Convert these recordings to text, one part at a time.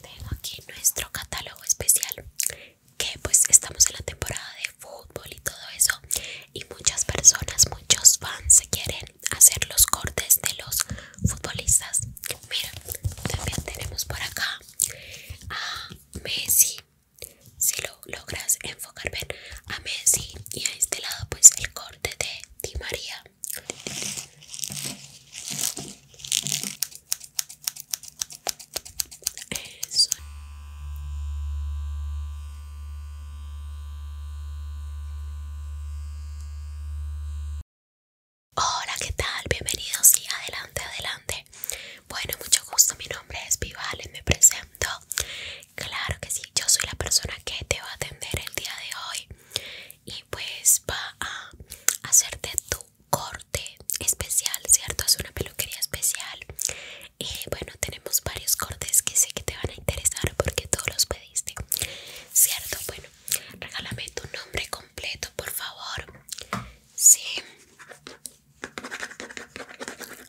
Tengo aquí nuestro catálogo especial que pues estamos en la temporada de fútbol y todo eso y muchas personas, muchos fans se quieren hacer los cortes de los futbolistas. Mira, también tenemos por acá a Messi. Si lo logras enfocar bien a Messi y a este lado pues el corte de Di María. Eso. Hola, ¿qué tal? Bienvenidos y adelante, adelante. Bueno, mucho gusto, mi nombre es y me presento. Claro que sí, yo soy la persona que te va a atender el día de hoy y pues va a hacerte tu corte especial, ¿cierto? Es una peluquería especial. Y eh, bueno, tenemos varios cortes que sé que te van a interesar porque todos los pediste, ¿cierto? Bueno, regálame tu nombre completo, por favor. Sí.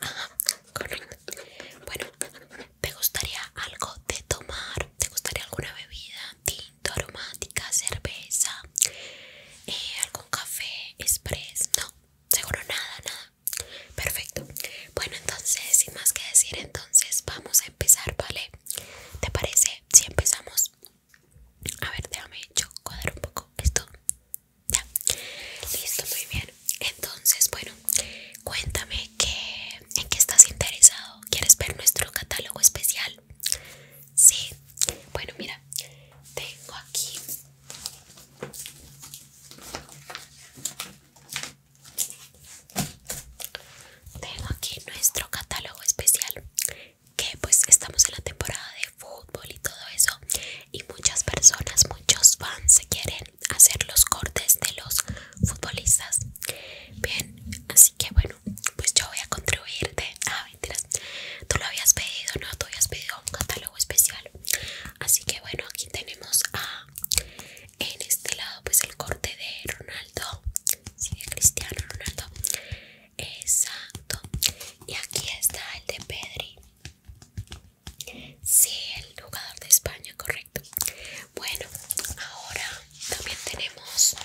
Ah, bueno, ¿te gustaría algo de tomar? ¿Te gustaría alguna bebida? aromática, cerveza, eh, algún café, express, no, seguro nada, nada. Perfecto. Bueno, entonces, sin más que decir, entonces vamos a empezar, ¿vale? ¿Te parece? Si empezamos. A ver, déjame yo cuadrar un poco esto. Ya. Listo, muy bien. Entonces, bueno, cuéntame que, en qué estás interesado. ¿Quieres ver nuestro catálogo especial? Sí, bueno, mira, tengo aquí tengo aquí nuestro catálogo especial que pues estamos en la temporada de fútbol y todo eso y muchas personas muchos fans se quieren hacer los cortes de los futbolistas bien así que bueno pues yo voy a contribuirte. Ah, mentiras. Tú lo habías pedido, ¿no? Tú habías pedido un catálogo especial. Así que bueno, aquí tenemos a, en este lado, pues el corte de Ronaldo. Sí, de Cristiano Ronaldo. Exacto. Y aquí está el de Pedri. Sí, el jugador de España, correcto. Bueno, ahora también tenemos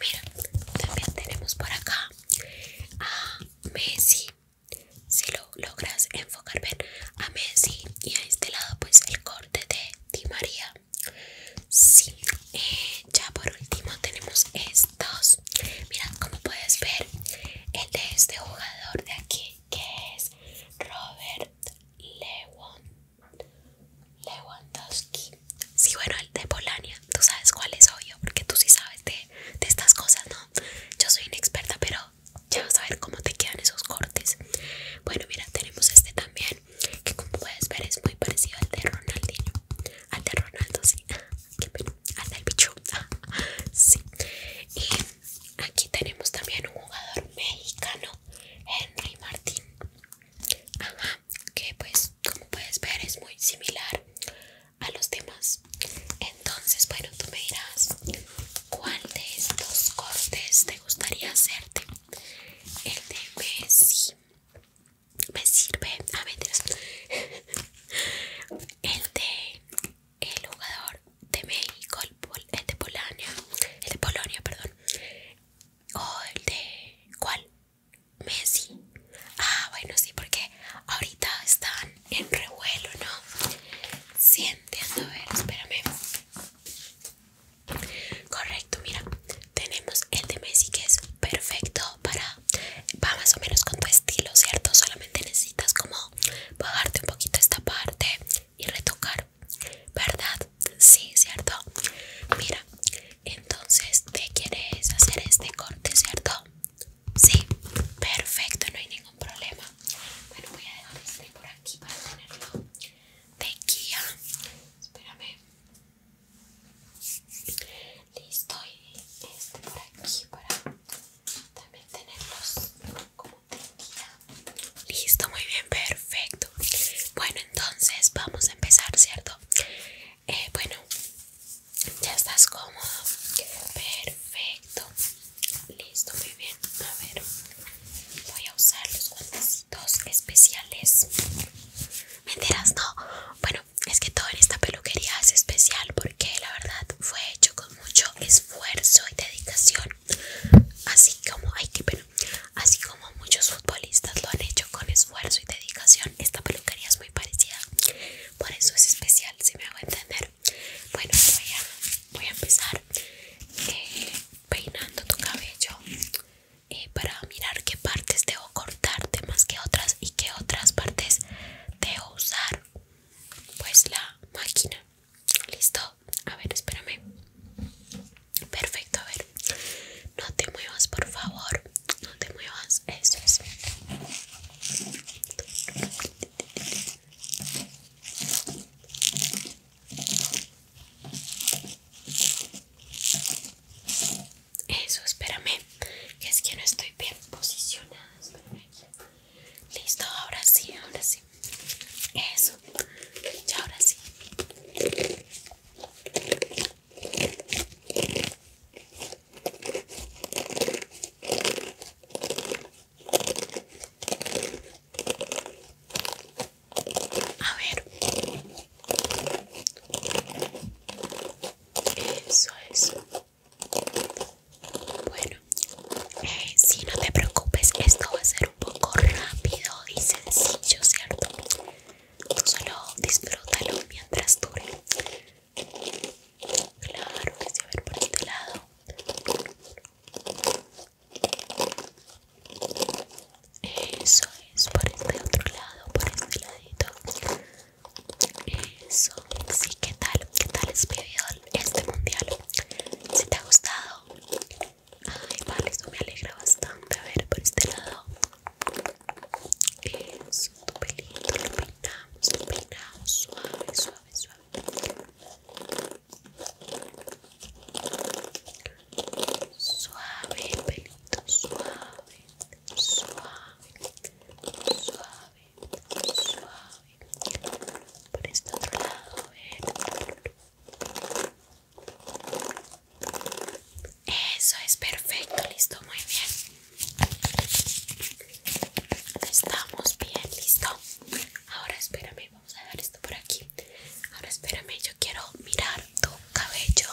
Mira, también tenemos por acá a Messi. Si lo logras enfocar ven, a Messi y a este lado pues el corte de Di María. Sí, eh, ya por último tenemos estos. Mira, como puedes ver el de este jugador de aquí que es Robert Lewon. Lewandowski. Sí, bueno, el de Polonia. Tú sabes cuál es, obvio, porque tú sí sabes de, estas cosas, ¿no? Yo soy inexperta, pero ya vas a ver cómo te quedan esos cortes. Bueno, mira, tenemos este también, que como puedes ver es muy parecido al de Ronaldinho. Al de Ronaldo, sí. Ah, al del bicho. Ah, sí. Y aquí tenemos también un jugador mexicano Henry Martín. Ajá, que pues como puedes ver es muy similar a los demás. Entonces, bueno, tú me dirás cuál de estos cortes te gustaría hacerte. El de Messi me sirve. a ah, El de el jugador de México el de Polonia, el de Polonia, perdón, o el de ¿cuál? Messi. Ah, bueno sí, porque ahorita están en revuelo, ¿no? Sí, entiendo. A ver, espérame. Correcto, mira, tenemos el de Messi que es perfecto para va más o menos con tu estilo, ¿cierto? Solamente necesitas como bajarte un poquito esta parte y retocar ¿Verdad? Sí, ¿cierto? Mira, entonces te quieres hacer este corte, ¿cierto? Sí, perfecto, no hay ningún problema. Bueno, voy a dejar este por aquí para tenerlo de guía. Espérame. Listo, y este por aquí para también tenerlos como Listo, muy bien, perfecto. Bueno, entonces vamos a empezar, ¿cierto? Eh, bueno, ya estás cómodo. Perfecto. Listo, muy bien. A ver, voy a usar los cuantos especiales. enteras? No. Bueno, es que todo en esta peluquería es especial porque la verdad fue hecho con mucho esfuerzo y dedicación. Así como hay que así como muchos futbolistas lo han hecho con esfuerzo y dedicación, esta peluquería es muy parecida. Por eso es especial, si me hago entender. Bueno, voy a, empezar eh, peinando tu cabello eh, para mirar qué partes debo cortarte más que otras y qué otras partes debo usar pues la máquina Listo, a ver, espérame. Perfecto, a ver. No te muevas, por favor. No te muevas, eso es. Eso, espérame. Que es que no estoy bien posicionada. Listo, ahora sí, ahora sí. Eso. Ya ahora sí. A ver. Eso, es Bueno, eh, si no te preocupes, esto va a ser un poco rápido y sencillo, ¿cierto? solo disfrútalo mientras dure. Claro que a ver por este lado. Eso es, por este otro lado, por este ladito. Eso, sí, ¿qué tal? ¿Qué tal has vivido este mundial? Si te ha gustado, Ay, vale, esto me alegra bastante. A ver, por este lado. Eso, tu pelito, lo peinamos, lo peinamos. Suave, suave, suave. Suave pelito, suave, suave, suave, suave. Por este otro lado, a ver. Eso es perfecto, listo, muy bien. Estamos bien, listo. Ahora espérame, vamos a dejar esto por aquí. Ahora espérame, yo quiero mirar tu cabello,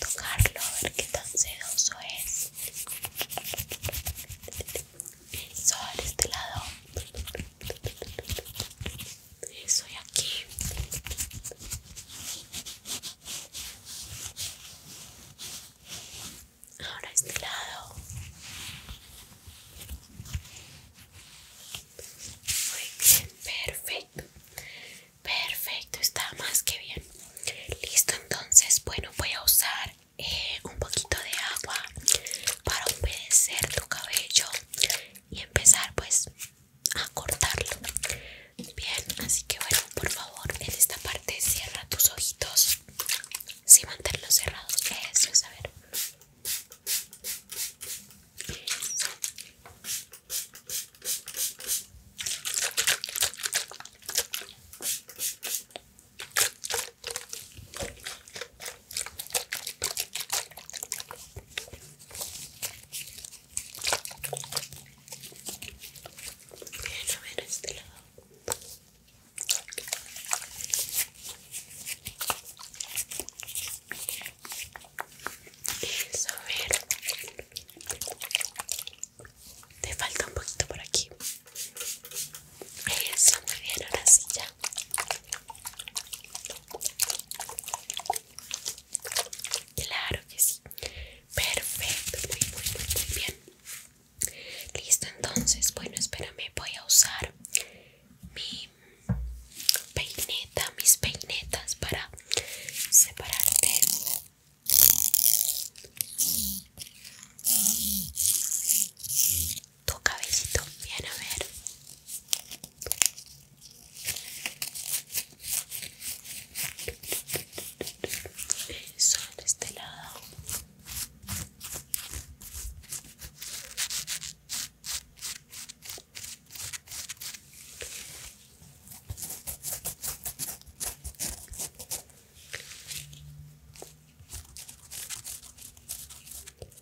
tocarlo, a ver qué tan sedoso es. Eso este lado. y aquí. Ahora este lado. bien, perfecto. Perfecto, está más que bien. Listo, entonces, bueno, voy a usar eh, un poquito de agua para humedecer tu cabello y empezar pues a cortarlo bien así que bueno por favor en esta parte cierra tus ojitos si mantenerlos cerrados eso es a ver Bien, a ver este lado. Eso, a ver. Te falta un poquito por aquí. Eso, muy bien, ahora sí ya. Claro que sí. Perfecto, muy, muy, muy, bien. Listo, entonces, bueno, espérame, voy a usar mi peineta, mis peinetas para separarte tu cabellito bien a ver eso este lado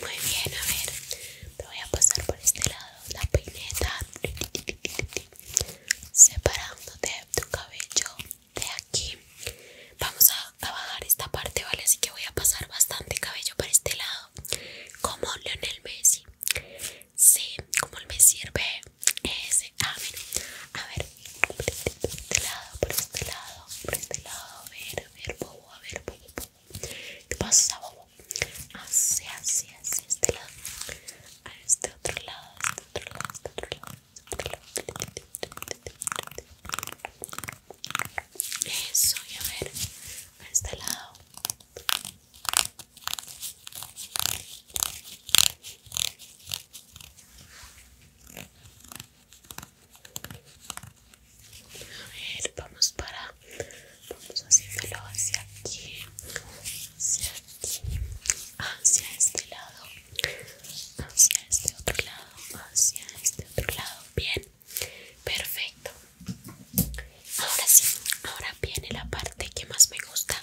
Muy bien, a ver, te voy a pasar por este lado la peineta, separándote tu cabello de aquí. Vamos a, bajar esta parte, ¿vale? Así que voy a pasar bastante cabello para este lado, como Leonel Messi. Sí, como el me sirve ese. Ah, a ver, por este lado, por este lado, por este lado, a ver, a ver, a ver, ¿Qué pasa, bobo? Así, así, así, este lado. A este otro lado, este otro lado, este, este otro lado. Eso, y a ver, a este lado. A ver, vamos para. Vamos haciéndolo hacia aquí, hacia aquí, hacia este lado, hacia este otro lado, hacia este otro lado. Bien, perfecto. Ahora sí, ahora viene la parte que más me gusta.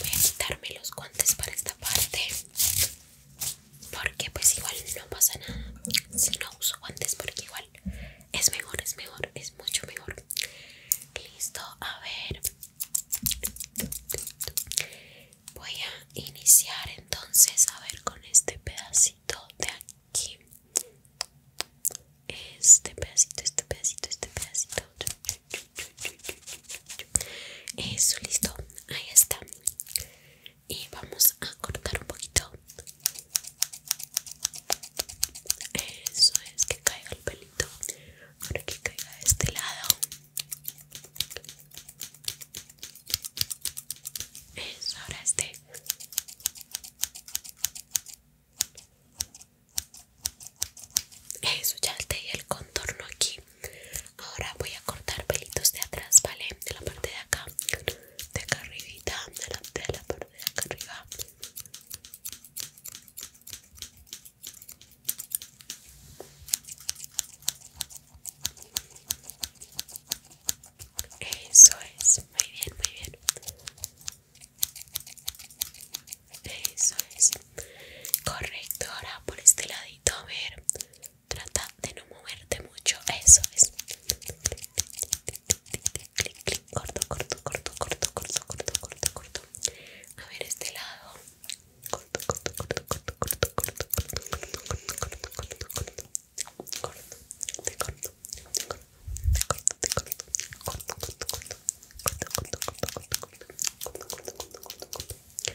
Voy a quitarme los guantes para esta parte porque pues igual no pasa nada si no uso guantes porque igual es mejor es mejor es mucho mejor listo a ver voy a iniciar entonces a ver con este pedacito de aquí este pedacito este pedacito este pedacito eso listo ahí está y vamos a cortar un poquito eso es que caiga el pelito ahora que caiga de este lado eso ahora este eso ya te di el contorno aquí ahora voy a cortar pelitos de atrás vale de la parte de acá de acá arribita, delante de la parte de acá arriba eso es, muy bien, muy bien eso es correcto, ahora por este ladito, a ver trata de no moverte mucho, eso es. Corto, corto, corto, corto, corto, corto, corto, corto. A ver este lado. Corto, corto, corto, corto, corto, corto, corto, corto, corto, corto, corto, corto. Corto, te corto, te corto, te corto, te corto, corto, corto, corto, corto, corto, corto, corto, corto, corto, corto, corto, corto, corto.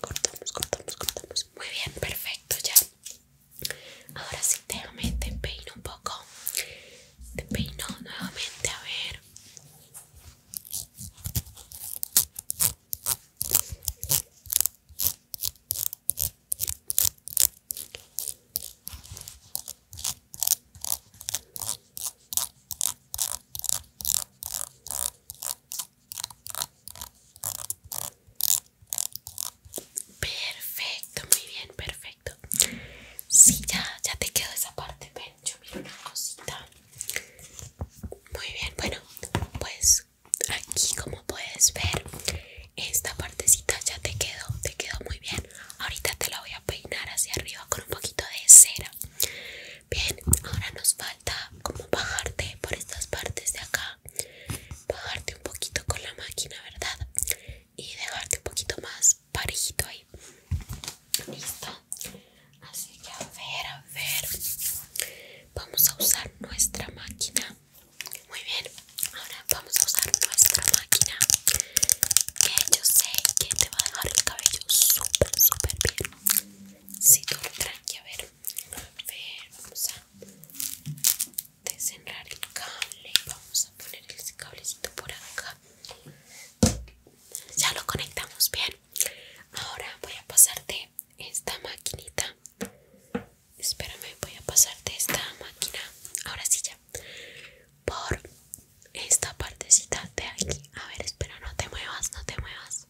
cortamos, cortamos, cortamos. Muy bien, perfecto, ya. Ahora sí, déjame, te peino un poco. Te peino nuevamente, a ver. Perfecto, muy bien, perfecto. Sí, ya, ya te quedó esa parte. Ven, yo miro una cosita. Muy bien, bueno, pues aquí como puedes ver, esta partecita ya te quedó, te quedó muy bien. Ahorita te la voy a peinar hacia arriba con un poquito de cera. Bien, ahora nos falta como bajarte por estas partes de acá. Bajarte un poquito con la máquina, ¿verdad? Y dejarte un poquito más parejito ahí. Listo. Así que a ver, a ver. Vamos a usar nuestra máquina. Muy bien. Ahora vamos a usar nuestra máquina. Que yo sé que te va a dejar el cabello súper, súper bien. Sí, todo tranqui, a ver, vamos a desenrar el cable, vamos a poner el cablecito por acá. Ya lo conectamos bien. Ahora voy a pasarte esta maquinita. Espérame, voy a pasarte esta máquina. Ahora sí ya. Por esta partecita de aquí. A ver, espera, no te muevas, no te muevas.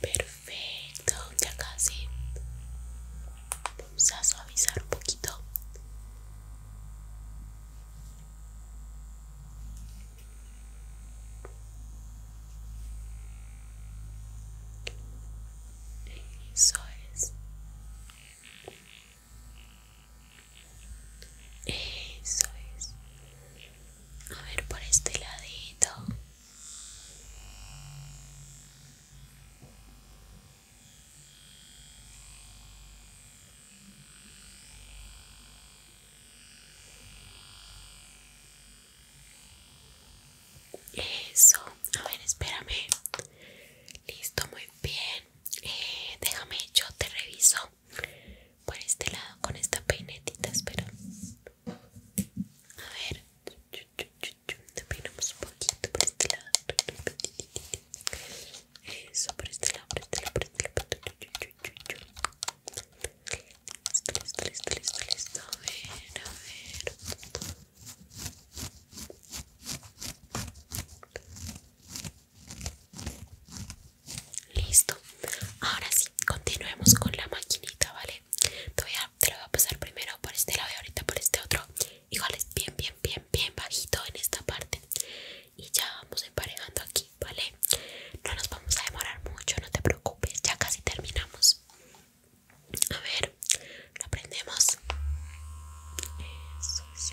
Perfecto, ya casi. Vamos a suavizar un poquito. Eso es. Eso es. A ver por este ladito. Eso, a ver, espérame. Listo, muy bien. Eh, déjame, yo te reviso por este lado con esta peinetita, espera A ver, te peinamos un poquito por este lado. Eso, por este lado, por este lado, por este lado. Listo, listo, listo, A ver, a ver. Listo. Ahora sí, continuemos con la maquinita, ¿vale? Te, voy a, lo voy a pasar primero por este lado y ahorita por este otro. Igual es bien, bien, bien, bien bajito en esta parte. Y ya vamos emparejando aquí, ¿vale? No nos vamos a demorar mucho, no te preocupes, ya casi terminamos. A ver, lo prendemos. Eso es.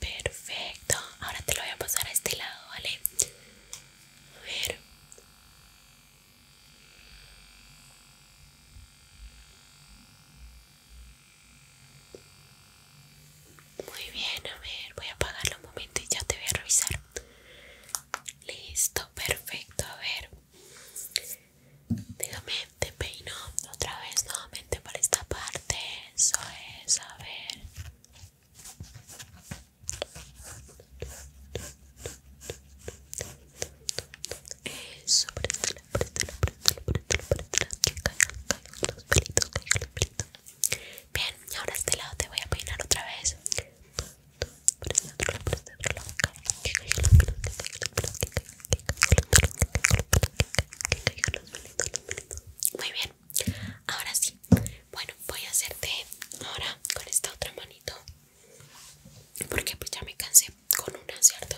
Perfecto, ahora te lo voy a pasar a este lado, ¿vale? A ver. Muy bien, a ver, voy a apagarlo un momento y ya te voy a revisar. Listo, perfecto, a ver. Déjame, te peino otra vez nuevamente para esta parte. Eso es, a ver. Eso, pelitos, Bien, y ahora este lado te voy a peinar otra vez. Muy bien, Ahora sí. Bueno, voy a hacerte ahora con esta otra manito. Porque pues ya me cansé con una, ¿cierto?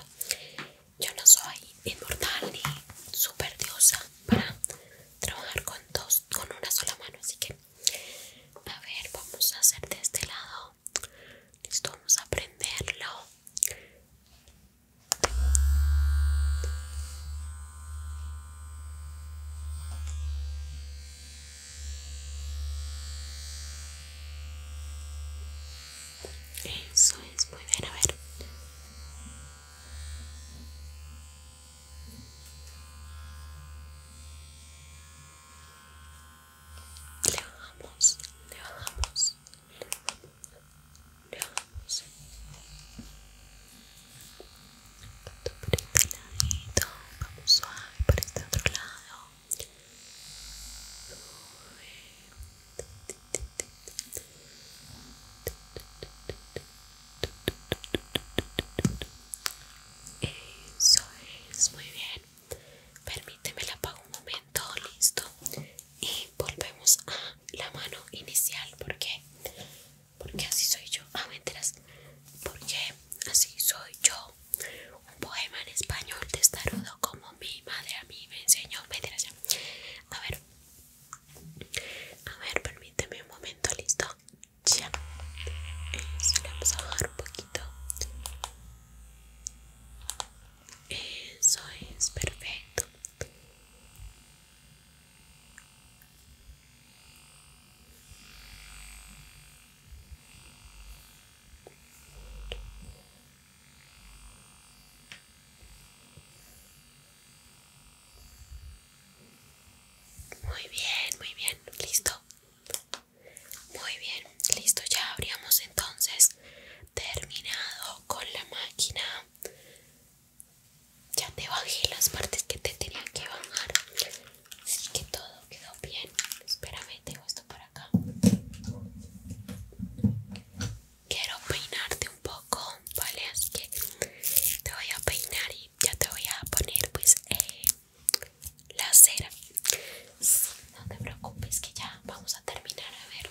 Yo no soy inmortal ni super diosa para trabajar con dos, con una sola mano, así que a ver, vamos a hacer de este lado. Listo, vamos a aprenderlo eso es, muy bien, a ver. Le bajamos, le bajamos, le vamos por este vamos suave por este otro lado eso es, muy bien Permíteme la apago un momento, listo Y volvemos a la mano inicial porque porque así soy yo, ah, enteras, porque así soy yo. Un poema en español de estarudo como mi madre a mí me enseñó, enteras ya. A ver, a ver, permíteme un momento, listo. Ya, eso eh, le vamos a bajar un poquito. Eso es perfecto. Muy bien, muy bien, listo. Muy bien, listo, ya habríamos entonces terminado con la máquina ya te bajé las partes que te tenían que bajar. Así que todo quedó bien. Espérame, tengo esto por acá. Quiero peinarte un poco, ¿vale? Así que te voy a peinar y ya te voy a poner pues eh, la cera. No te preocupes que ya vamos a terminar. A ver.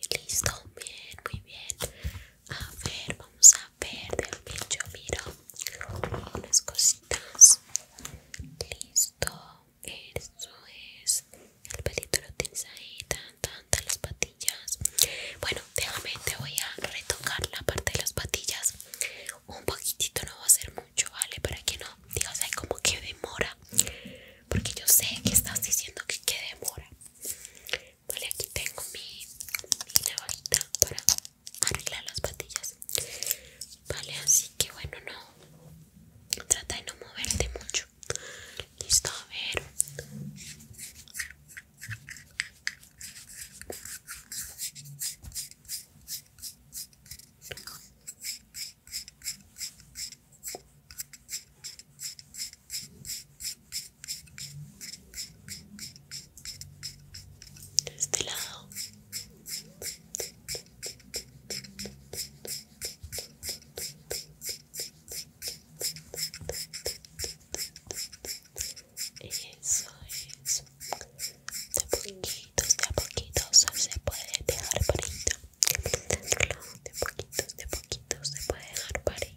Este, listo, bien, muy bien. A ver, vamos a ver. También yo miro unas cositas. Listo, eso es. El pelito lo tienes ahí, tan, tan, las patillas. Bueno, déjame, te voy a retocar la parte de las patillas. Un poquitito, no va a ser mucho, ¿vale? Para que no digas, ay, como que demora. Porque yo sé que estás diciendo que, que demora. Vale, aquí tengo mi, mi para arreglar las patillas. Vale, así que bueno, no. Trata de no moverte mucho. Listo, a ver de este lado eso es de poquitos de poquitos se puede dejar parito de poquitos de poquitos se puede dejar parito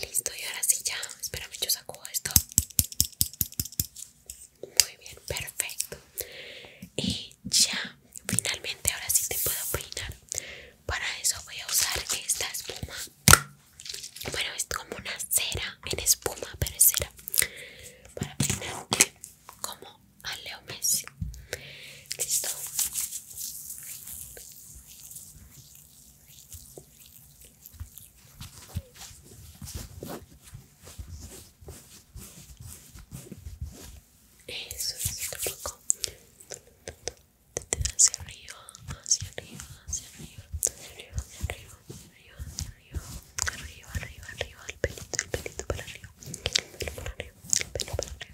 Listo, y ahora sí ya. Espérame, yo saco esto. Muy bien, perfecto. Y ya, finalmente ahora sí te puedo peinar. Para eso voy a usar esta espuma. Bueno, es como una cera en espuma, pero es cera. Para peinar como a Leo Messi. Listo. Eso es un poco. Hacia arriba, hacia arriba, hacia arriba, hacia arriba, hacia arriba, hacia arriba, hacia arriba, arriba, arriba, arriba, el pelito, el pelito para arriba, para arriba, el pelo para arriba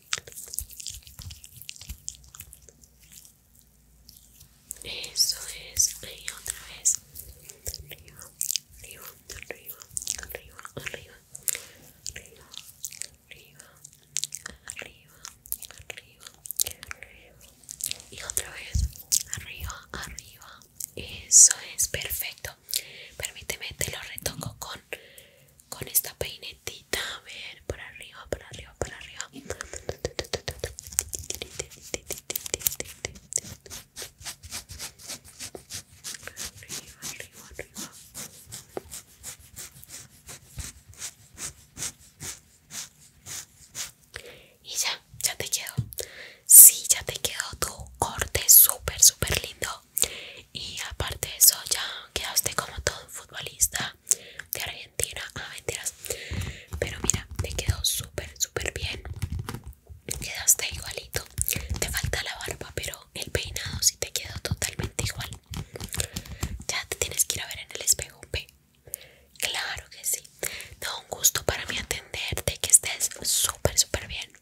Eso es, y otra vez. Arriba, arriba, arriba, arriba, arriba, arriba, arriba, arriba, arriba, arriba. Y otra vez, arriba, arriba. Eso es perfecto. Permíteme, te lo retoco con con esta peinetita, a ver, por arriba, por arriba, por arriba. arriba. Y ya, ya te quedó. Sí, ya te quedó tu corte súper, súper lindo y aparte de eso ya quedaste como todo un futbolista de Argentina ah, mentiras pero mira te quedó súper súper bien quedaste igualito te falta la barba pero el peinado sí te quedó totalmente igual ya te tienes que ir a ver en el espejo claro que sí da un gusto para mí atenderte que estés súper súper bien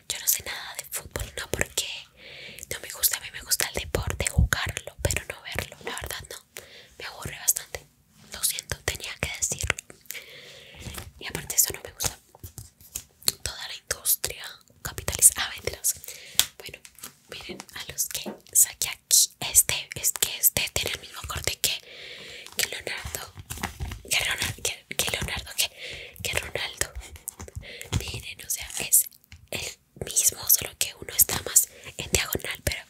Yo no sé nada de fútbol, no porque no me gusta, a mí me gusta el deporte, jugarlo, pero no verlo, la verdad no. Me aburre bastante. Lo siento, tenía que decirlo. Y aparte eso no me gusta. Toda la industria capitalista Ah, venderlos. Bueno, miren a los que saqué aquí. Este, es que este tiene el mismo corte que, que Leonardo. Que Leonardo, Leonardo, que, que Ronaldo. miren, o sea, es el mismo, solo que uno está más en diagonal, pero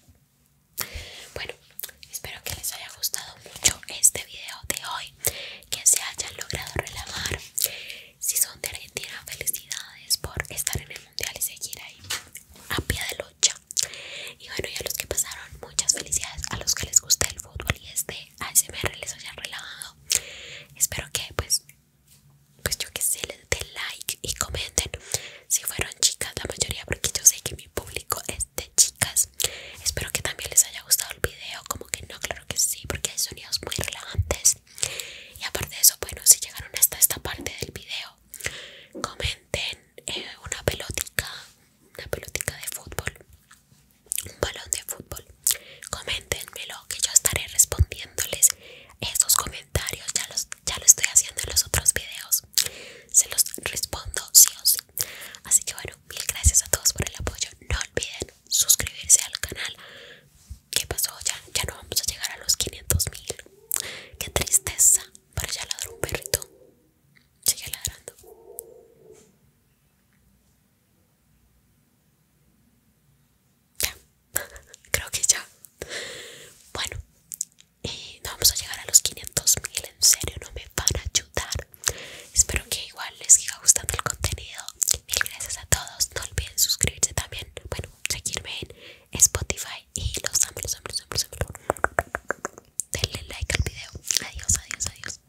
bueno, espero que les haya gustado mucho este video de hoy, que se hayan logrado relajar. Si son de Argentina, felicidades por estar en el mundial y seguir ahí a pie de lucha. Y bueno, y a los que pasaron, muchas felicidades. A los que les guste el fútbol y este ASMR les haya relajado. Espero que pues pues yo que sé, les den like y comenten si fueron chicas la mayoría porque yo sé que mi público es de chicas. Espero que también les haya gustado el video, como que no, claro que sí, porque hay sonidos muy relajantes. Y aparte de eso, bueno, si llegaron hasta esta parte del video, comenten eh, una pelotica, una pelotica de fútbol, un balón de fútbol coméntenmelo que yo estaré respondiéndoles esos comentarios ya los ya lo estoy haciendo en los otros videos se los respondo sí o sí así que bueno mil gracias a todos por el apoyo no olviden suscribirse al canal ¿Qué pasó? Ya, ya no vamos a llegar a los 500 mil. Qué tristeza. Para ya ladrar un perrito. Sigue ladrando. Ya, creo que ya. Bueno, eh, no vamos a llegar a los 500.000 En serio, no me van a ayudar. Espero que igual les siga gustando el contenido. Mil gracias a todos. No olviden suscribirse también. Bueno, seguirme en Spotify. Y los amores Denle like al video. Adiós, adiós, adiós.